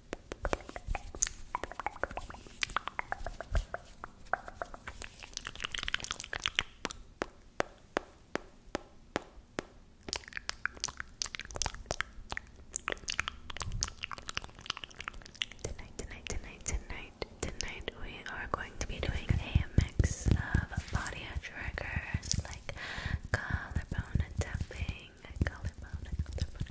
Tonight, tonight, tonight, tonight, tonight, we are going to be doing a mix of body triggers like collarbone tapping, collarbone, collarbone,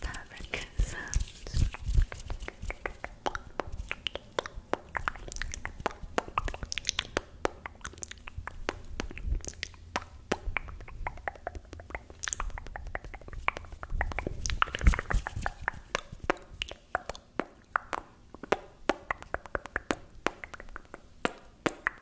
fabric sounds.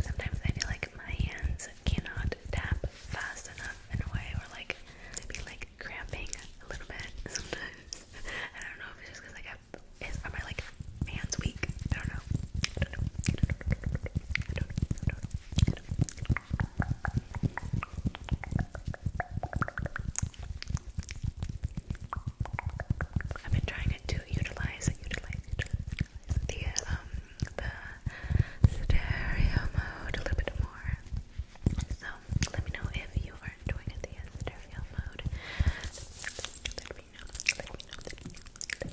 Sometimes I feel like my hands cannot tap fast enough in a way, or like to like cramping a little bit sometimes. I don't know if it's just because like I am I like hands weak? I don't know. I've been trying to utilize, utilize, utilize um, the stereo mode a little bit more. So let me know if you are enjoying the stereo mode. Let me know. Let me know.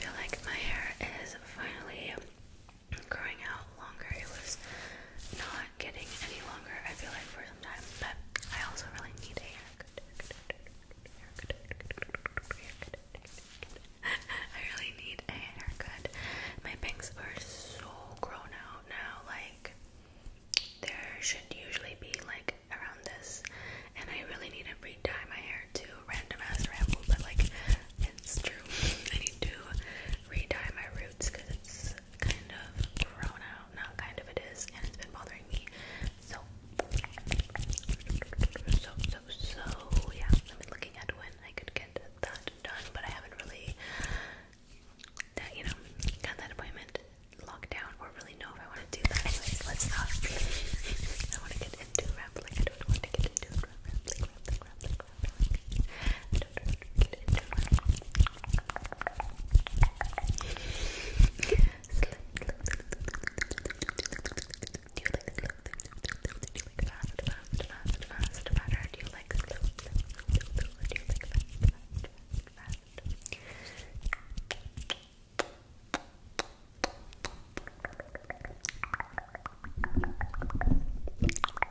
I feel like my hair is finally growing out longer. It was not not getting any longer, I feel like, for some time. But I also really need a haircut. I really need a haircut. My bangs are so grown out now, like there should usually be like around this and I really need to re my hair too. Random ass ramble, but like it's true. I need to re my roots because it's kind of grown not kind of it is, and it's been bothering me. So, so, so, yeah, I've been looking at when I could get that done, but I haven't really, you know, got that appointment locked down or really know if I want to do that. Anyways, let's not. I want to get into don't rambling. I don't want to get into rambling. Do you like slow? Do you like fast, fast, fast, fast, better? Do you like slow, slow, slow, slow, or do you like fast, fast, fast? Good,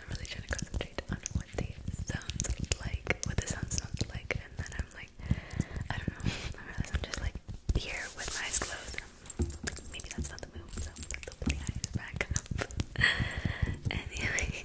I'm really trying to concentrate on what the sounds like, what the sound like, and then I'm like, I don't know. I realize I'm just like here with my eyes closed. Maybe that's not the move. So the play eyes back anyway.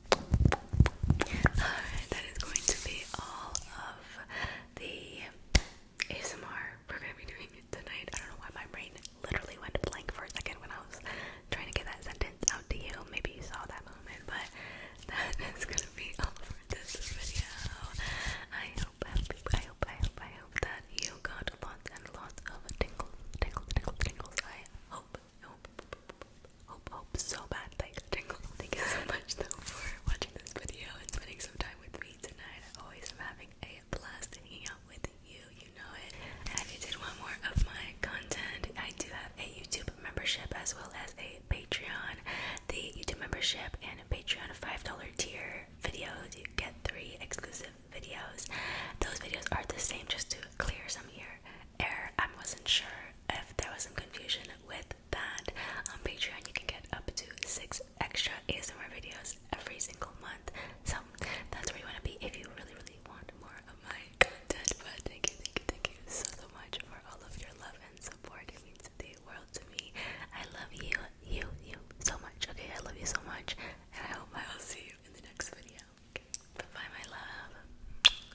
Alright, that is going to be all of the ASMR we're going to be doing it tonight. I don't know why my brain literally went blank for a second when I was trying to get that sentence out to you. Maybe you saw that moment, but that is going to be all for this video. I hope, I hope, I hope, I hope that you got lots and lots of tingles, tingles, tingles, tingles. I hope hope, so bad. Like, Jingle, thank you so much though for watching this video and spending some time with me tonight. I always am having a blast hanging out with you. You know it. if you did want more of my content, I do have a YouTube membership as well as a Patreon. The YouTube membership and a Patreon $5 tier videos. You get three exclusive videos. Those videos are the same just to clear some here air. I wasn't sure if there was some confusion with that. On Patreon, you can get up to six extra ASMR videos every single month. So that's where you want to be if you really, really want more of my content. But thank you, thank you, thank you so, so much for all of your love and support. It means the world to me. I love you, you, you so much. Okay, I love you so much. And I hope I will see you in the next video. Bye bye, my love.